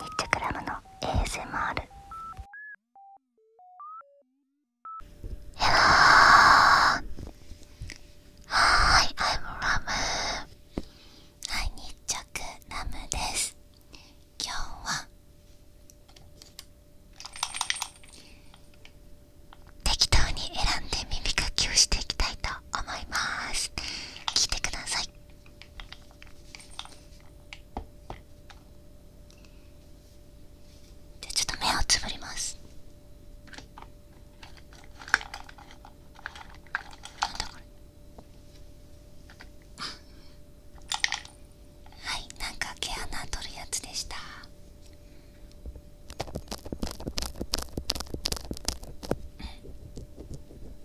ニッチクラムの ASMR ヘローはーい I'm ラムはいニッチクラムです今日は適当に選んで耳かきをしていきたいと思います聞いてくださいじゃあちょっと目をつぶりますなだこれはいなんか毛穴取るやつでした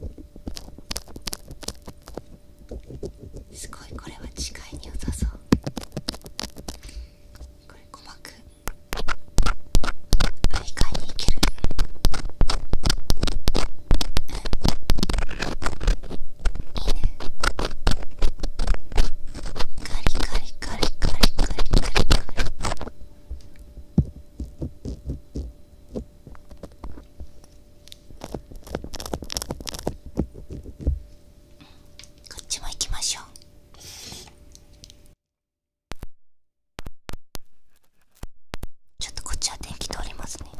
うんすごいこれは視いに良さそうこれく。鼓膜外いに行けるうんいいねカリカリカリカリカリカリカリこっちも行きましょう。ちょっとこっちは電気通りますね。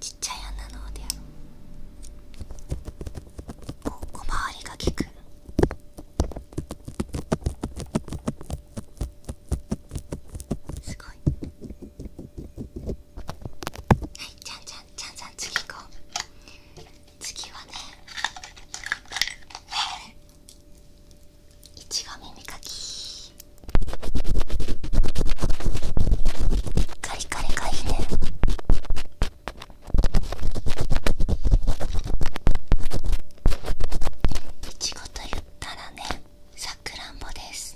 ちっちゃい穴のおでやろう小回りが利くすごいはいちゃんちゃんちゃんじゃん次行こう次はねいちご耳かきカリカリカリねいちごと言ったらねさくらんぼです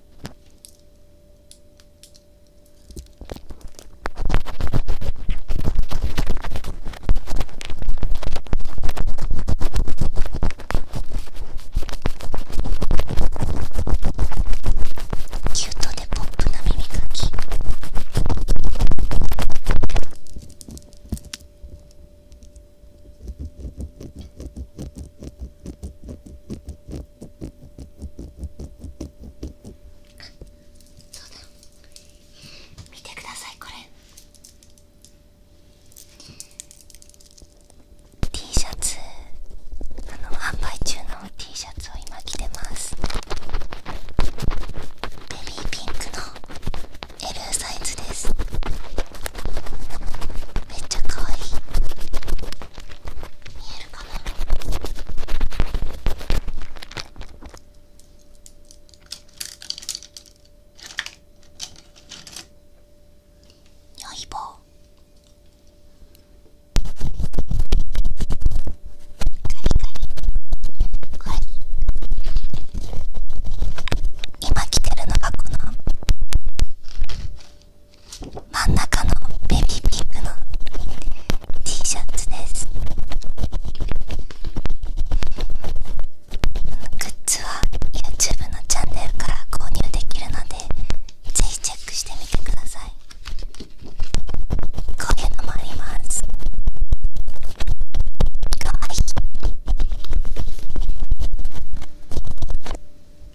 キュートでポップな耳かきあ、そうだ見てくださいこれ T シャツあの販売中の T シャツを今着てますベビーピンクの L サイズですめっちゃ可愛い見えるかなよいぼ今着てるのがこの真ん中のベビーピックの T シャツですグッズは YouTube のチャンネルから購入できるのでぜひチェックしてみてくださいこういうのもありますかわいい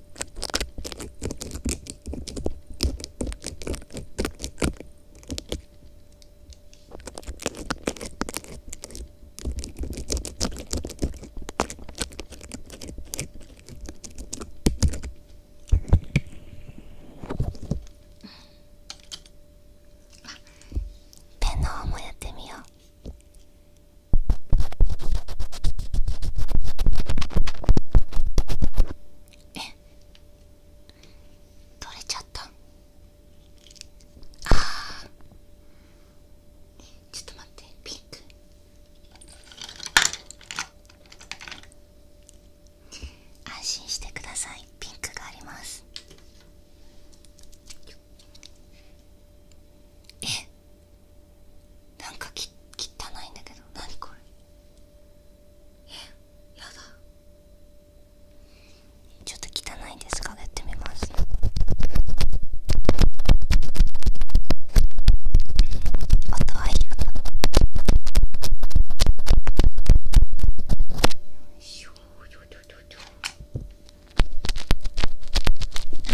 ペンの方もやってみよう。え取れちゃったああちょっと待ってピンク安心してくださいピンクがありますえなんかき汚いんだけど何これえやだちょっと汚いですかやってみます音はいいよな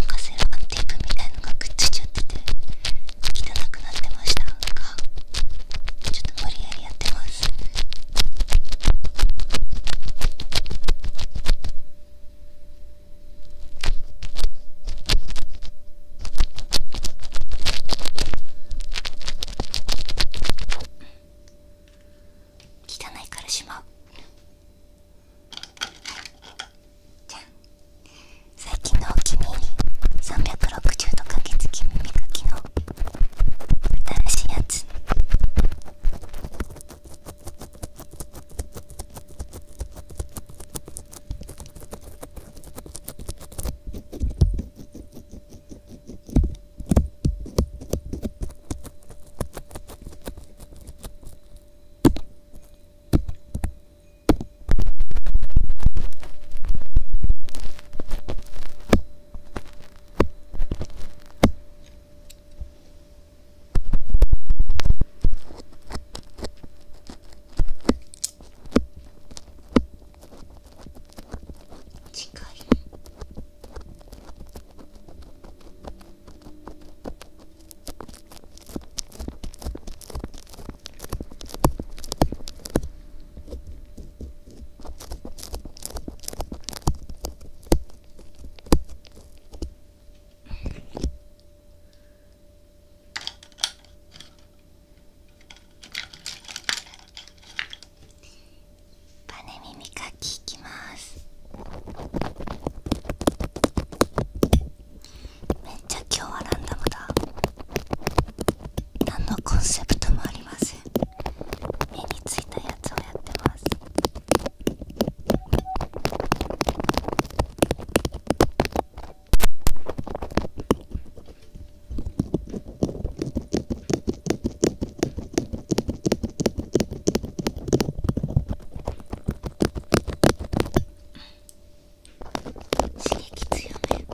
んかセラテープみたいのがくっついちゃってて汚くなってましたかちょっと無理やりやってます汚いからしまう。最近のお気に入り360度かけつき耳かきの新しいやつ近いバネ耳かきいきます。めっちゃ今日はランダムだ何のコンセプトもありません目についたやつをやってます刺激強めは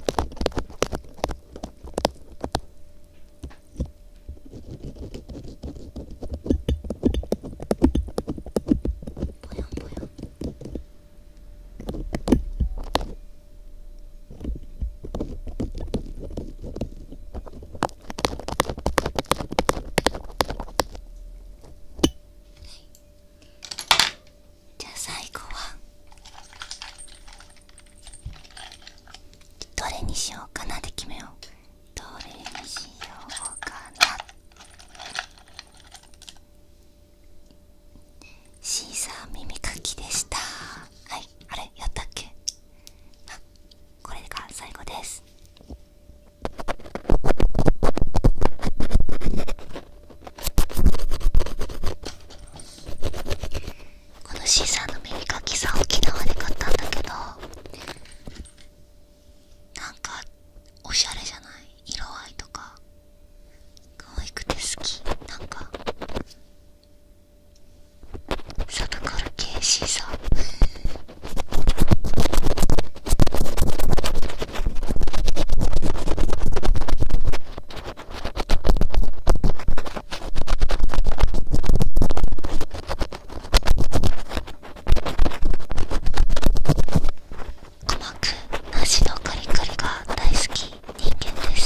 いじゃあ最後はどれにしようかなで決めようどれにしようかなシーサー耳かきでしたはいあれやったっけあこれが最後ですこのシーサーの耳かきさ沖縄で買ったんだけどなんかおしゃれじゃない色合いとか可愛くて好きなんかサタカル系シーサーうまく梨のカリカリが大好き人間です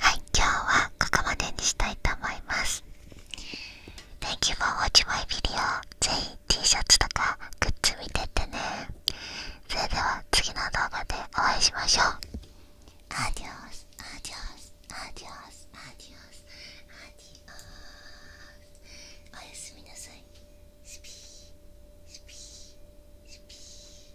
はい、今日はここまでにしたいと思います。Thank you for watching my video. ぜひ T シャツとかグッズ見てってね。それでは次の動画でお会いしましょう。アディオス、アディオス、アディオス、アディオス、アディオス。おやすみなさい。スピー、スピー、スピー。